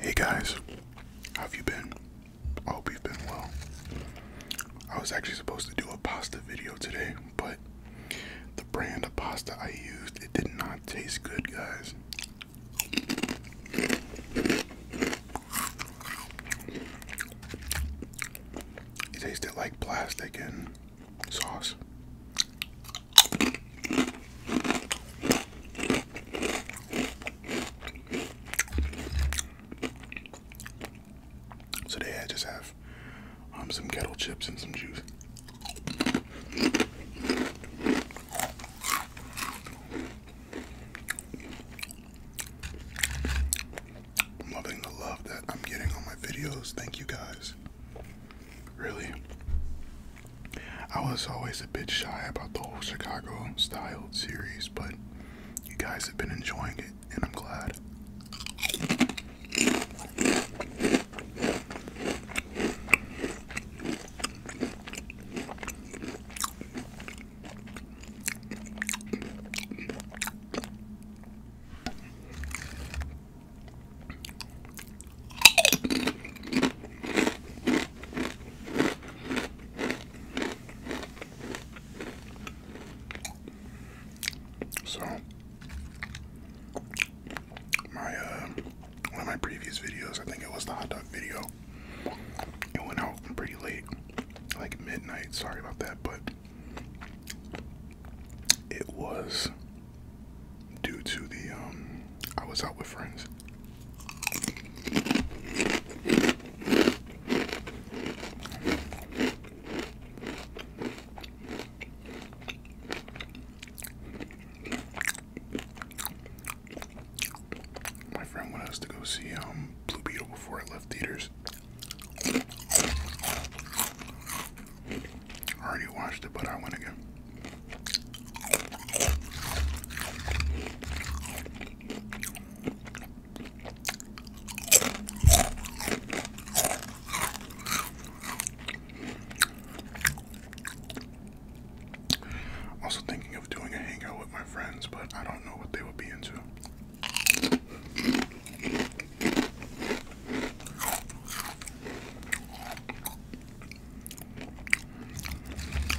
Hey guys, how have you been? I hope you've been well. I was actually supposed to do a pasta video today, but the brand of pasta I used it did not taste good, guys. It tasted like plastic and sauce. So today I just have um, some kettle chips and some juice. I'm loving the love that I'm getting on my videos. Thank you guys. Really. I was always a bit shy about the whole Chicago style series, but you guys have been enjoying it, and I'm glad. So, my uh, one of my previous videos, I think it was the hot dog video. It went out pretty late, like midnight. Sorry about that, but it was due to the um I was out with friends my friend wanted us to go see um, Blue Beetle before I left theaters. I already watched it, but I went again. Also thinking of doing a hangout my friends, but I don't know what they would be into.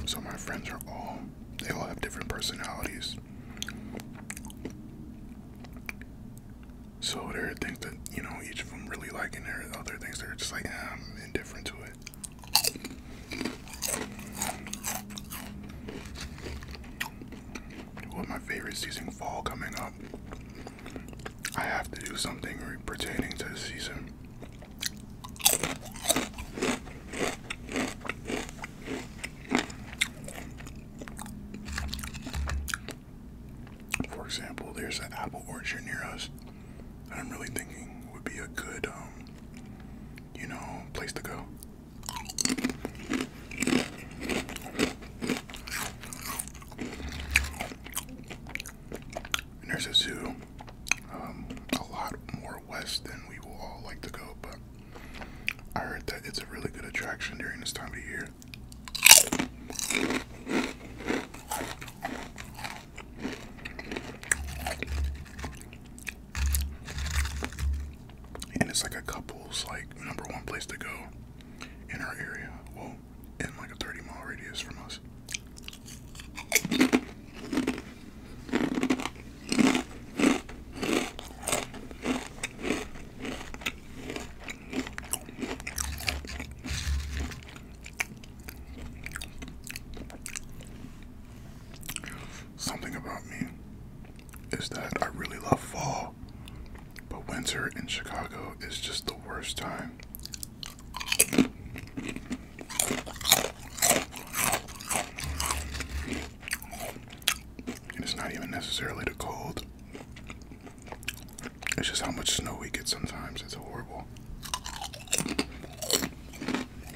So my friends are all they all have different personalities. So there are things that, you know, each of them really like and there are other things they are just like, eh, I'm indifferent to it. With my favorite season, fall, coming up, I have to do something pertaining to the season. For example, there's an apple orchard near us that I'm really thinking would be a good, um, you know, place to go there's a zoo, um, a lot more west than we will all like to go, but I heard that it's a really good attraction during this time of year and it's like a couple's like number one place to go in our area. Well, in like a 30 mile radius from us. Something about me is that I really love fall, but winter in Chicago is just the worst time. it's not even necessarily the cold. It's just how much snow we get sometimes. It's horrible. Like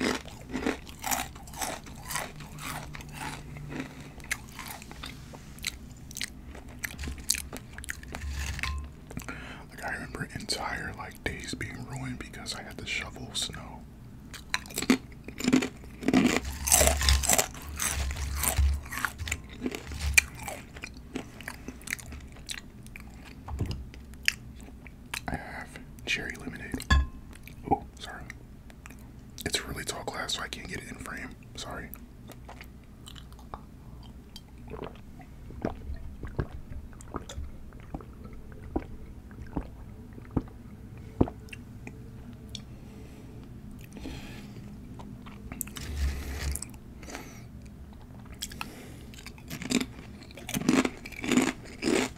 I remember entire like days being ruined because I had to shovel snow. I have cherry lemonade. Oh, sorry. It's a really tall glass, so I can't get it in frame. Sorry.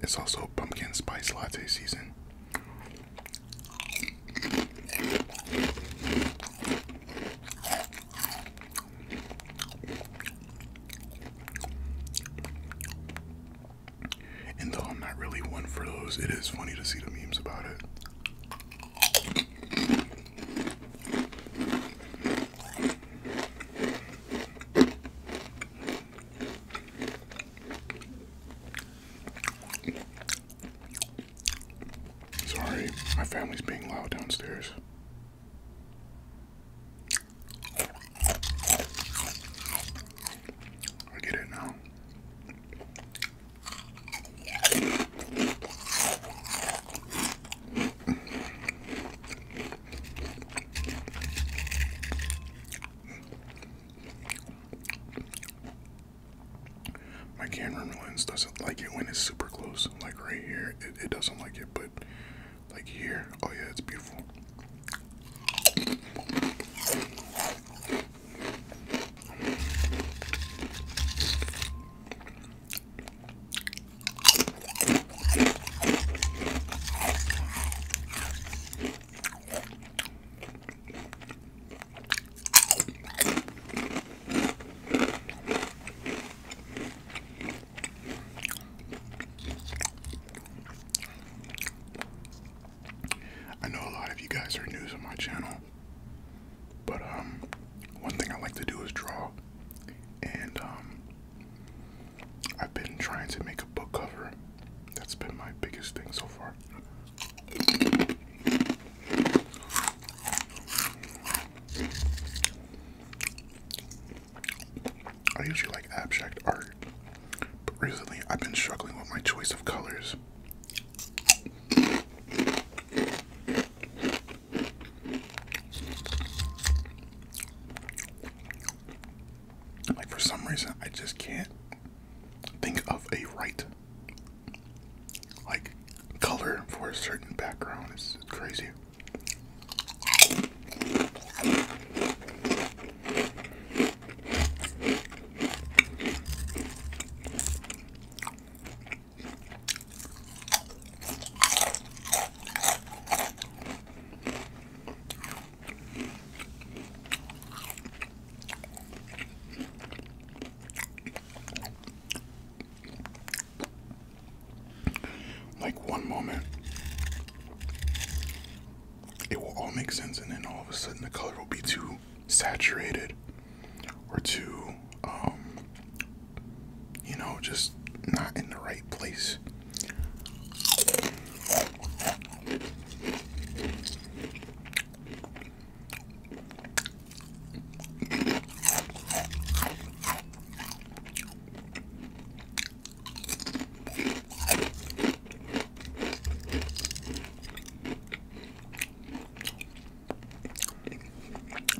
it's also pumpkin spice latte season. And though I'm not really one for those, it is funny to see the memes about it. Sorry, my family's being loud downstairs. I get it now. My camera lens doesn't like it when it's super close, like right here, it, doesn't like it, but like here, oh yeah, it's beautiful. I know a lot of you guys are new to my channel, but um, one thing I like to do is draw, and um, I've been trying to make a book cover. That's been my biggest thing so far. I usually like abstract art, but recently I've been struggling with my choice of colors. Like for some reason, I just can't think of a right like color for a certain background. It's crazy. Like one moment, it will all make sense, and then all of a sudden, the color will be too saturated or too, um, you know, just not in the right place.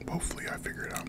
Hopefully, I figure it out.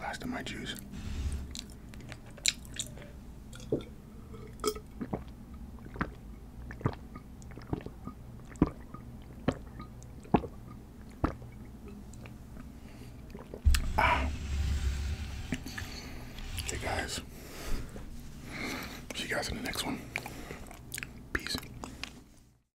Last of my juice. Ah. Okay, guys. See you guys in the next one. Peace.